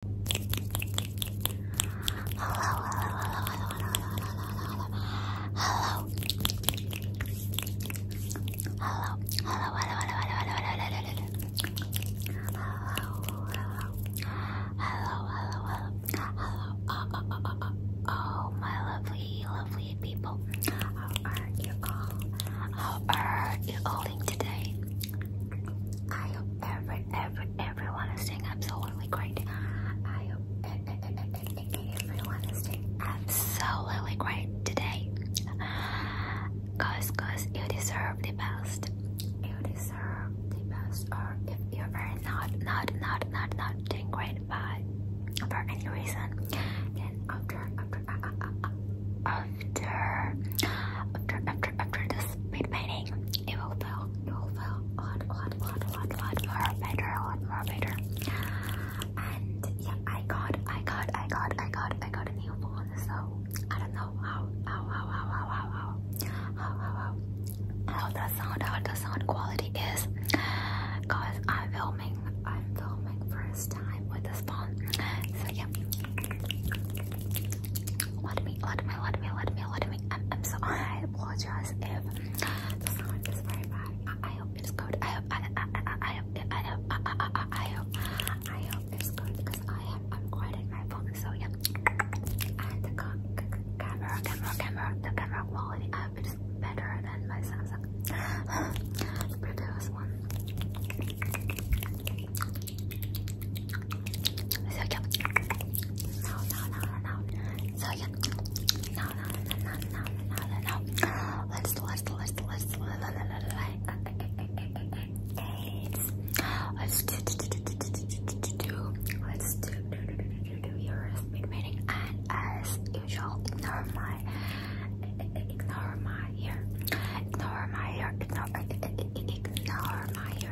hello, hello, hello, hello, hello, hello, hello, hello, hello, hello, Oh, my lovely, lovely people, how are you all? How are you all today? I hope every, everyone is doing absolutely great. I hope everyone is doing absolutely great today. Cause, cause you deserve the best. You deserve the best. Or if you're not, not, not, not, not doing great, but for any reason, after, after, uh, uh, uh, after, after, after, after this speed it will feel, it will feel odd, odd, odd, odd, odd, more better, odd, more better. And yeah, I got, I got, I got, I got, I got a new phone. So I don't know how, how, how, how, how, how, how, how, how, how, how the sound, how the sound quality is, cause I'm filming, I'm filming first time with this phone. So yeah. What me, what me, what me, what me, what me. I'm, I'm so I apologize if the sound is very bad. I, hope it's good. I hope I I I hope I hope I, hope I hope it's good because I am I'm recording my phone so yeah. the camera camera camera the camera quality I hope it's better than my Samsung the one. So yum. No, no, no, no, no. So yum. No, no, no, no, no, no, no, no. Let's, let's, let's, let's, let's, let's do, do, do, do, do, do, let's do, do, do, do, do, do your speed reading. And as usual, ignore my, ignore my hair, ignore my hair, ignore, ignore my hair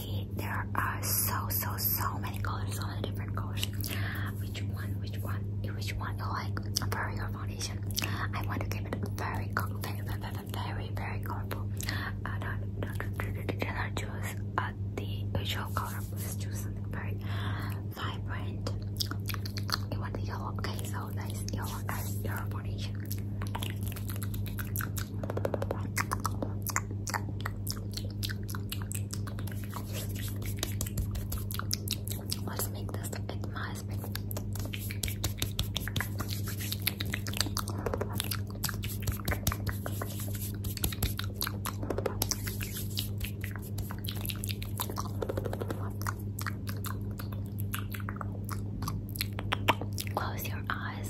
Honestly, there are so so so many colors, so many different colors. Which one? Which one? Which one you like for your foundation? I want to keep it very, very, very, very, very colorful. Uh, don't, don't, don't, don't choose uh, the usual color. Please choose something very vibrant. You want the yellow? Okay, so nice yellow as your foundation. Let's make this with my spin. Close your eyes.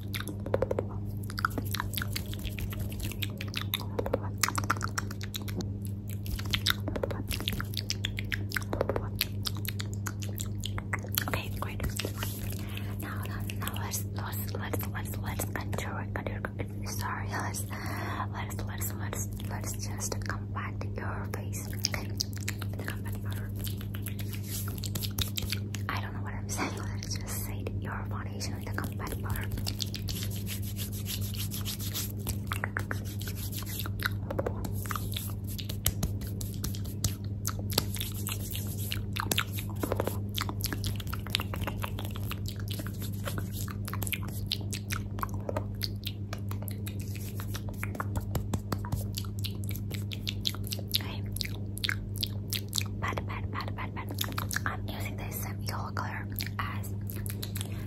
Okay, great. Now, now, let's let's let's let's let's continue. continue sorry, let's let's let's let's let's just compact your face. I don't know what I'm saying, let's just say your foundation with the compact powder. Pat, pat, pat, pat, I'm using this yellow color as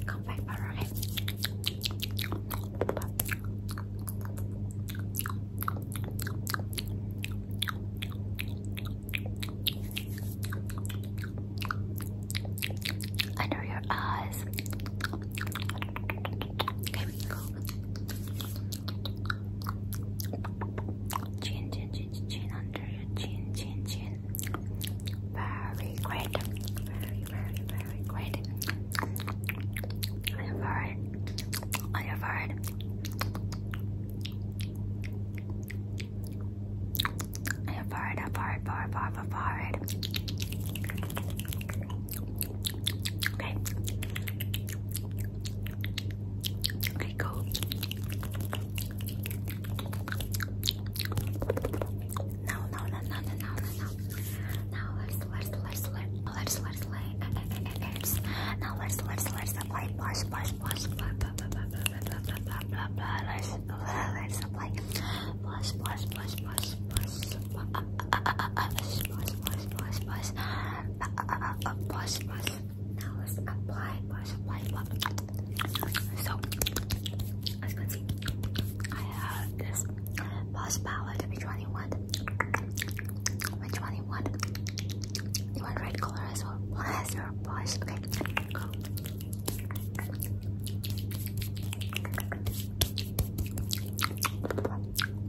compact powder. Okay. Under your eyes. Okay, Chin, chin, chin, chin under your chin, chin, chin. Very great. Very, very, very great. On your forehead. On your forehead. On your forehead, up, forehead, forehead, forehead, forehead. Okay. I go no, no, no, no, no, no, no, Now let's let's let's let's let's let's let's now let's let's let's apply blush, blush, blush, blah, blah, blah, blah, blah, blah, blah, blah, blah. Let's let's apply blush, blush, blush, blush, blush, blush, blush, blush, blush, blush, blush, blush. Now let's apply blush, apply blush. So, as you can see, I have this blush palette. Which red color as well? What is your blush? Okay,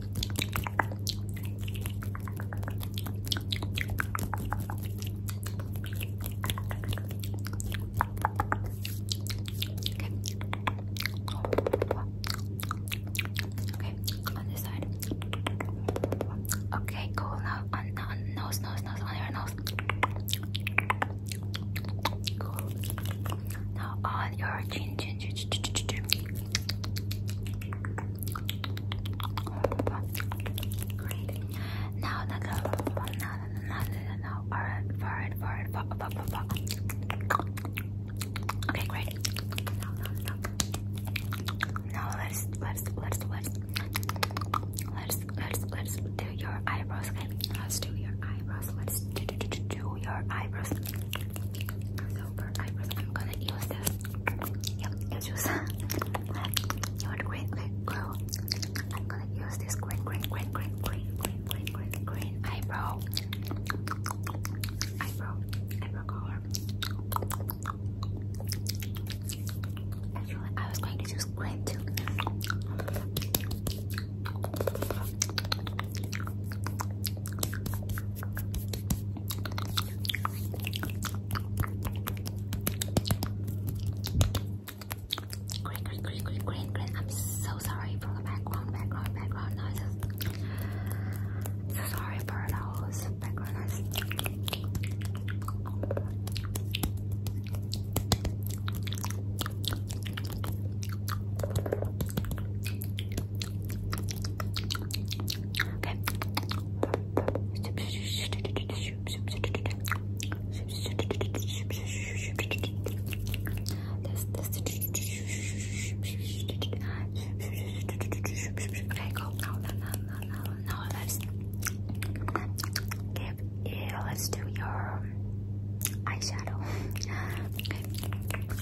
Okay, on this side. Okay, cool. Now uh, on nose, nose, nose, on your nose. Cool. Now on your chin, chin, chin, chin, chin, chin. Now, now, now, now, now, now, now. Alright, forward, forward, forward, forward, Okay, great. Now, let's let's let's let's let's let's let's do your eyebrows. Okay, let's do your eyebrows. Let's do do do, do your eyebrows. So for I'm gonna use this. Yep, it's just you want green, green glow. I'm gonna use this green, green, green, green, green, green, green, green, eyebrow, eyebrow, eyebrow color. I was going to use green too. Great, I'm so sorry for the background, background, background noises. sorry for those background noises. Okay. Okay, go now, let's let's do your eyeshadow. Okay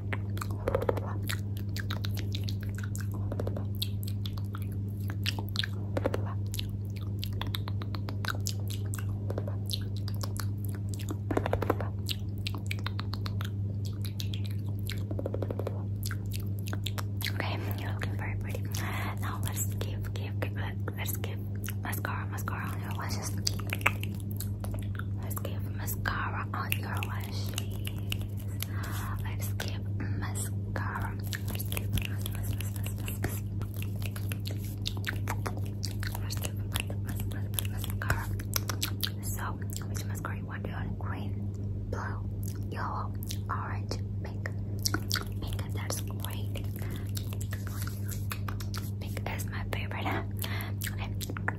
Okay, you're looking very pretty. Now let's give, give, give, let's give mascara, mascara on your lashes. Let's give mascara on your lashes. Let's give mascara. Let's give mascara. So, which mascara you want to Green, blue, yellow, orange, pink. Pink, that's great. Pink is my favorite.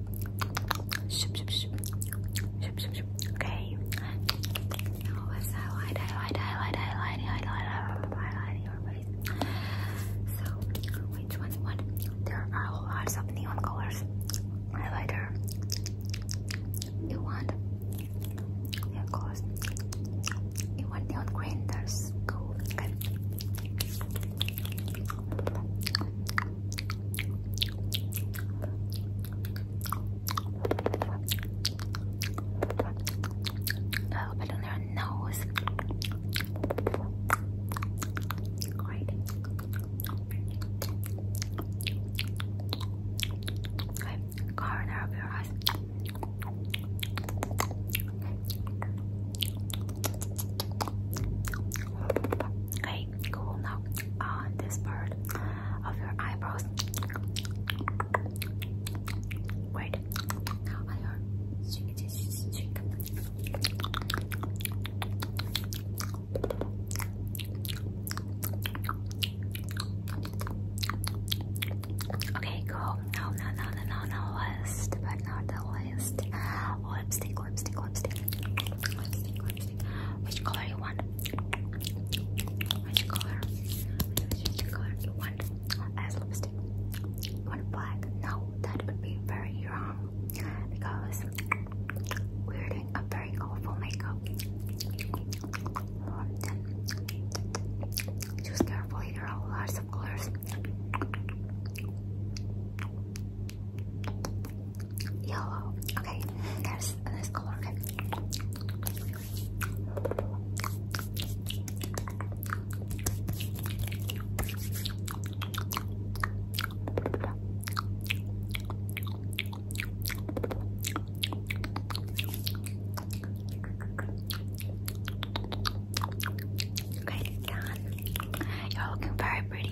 Okay. So I die, I die, I die, I die, I die, your face. So which one's what? There are lots of neon colors. Highlighter. You want neon colors. You want neon green, there's go. Okay. A little bit on their nose. Great. Okay, corner of your eyes. Okay, Okay, cool. Now, on uh, this part of your eyebrows, wait. Now on your cheek, cheek, cheek. Okay, cool. Now, now, now, now, now, last but not the last, lipstick lipstick, lipstick, Which color you want? Which color? Which color you want as lipstick? want black? No, that would be very wrong because we're doing a very colorful makeup. Choose carefully, there are lots of colors. Yellow. Okay, there's this color. Okay. Okay, done. You're looking very pretty.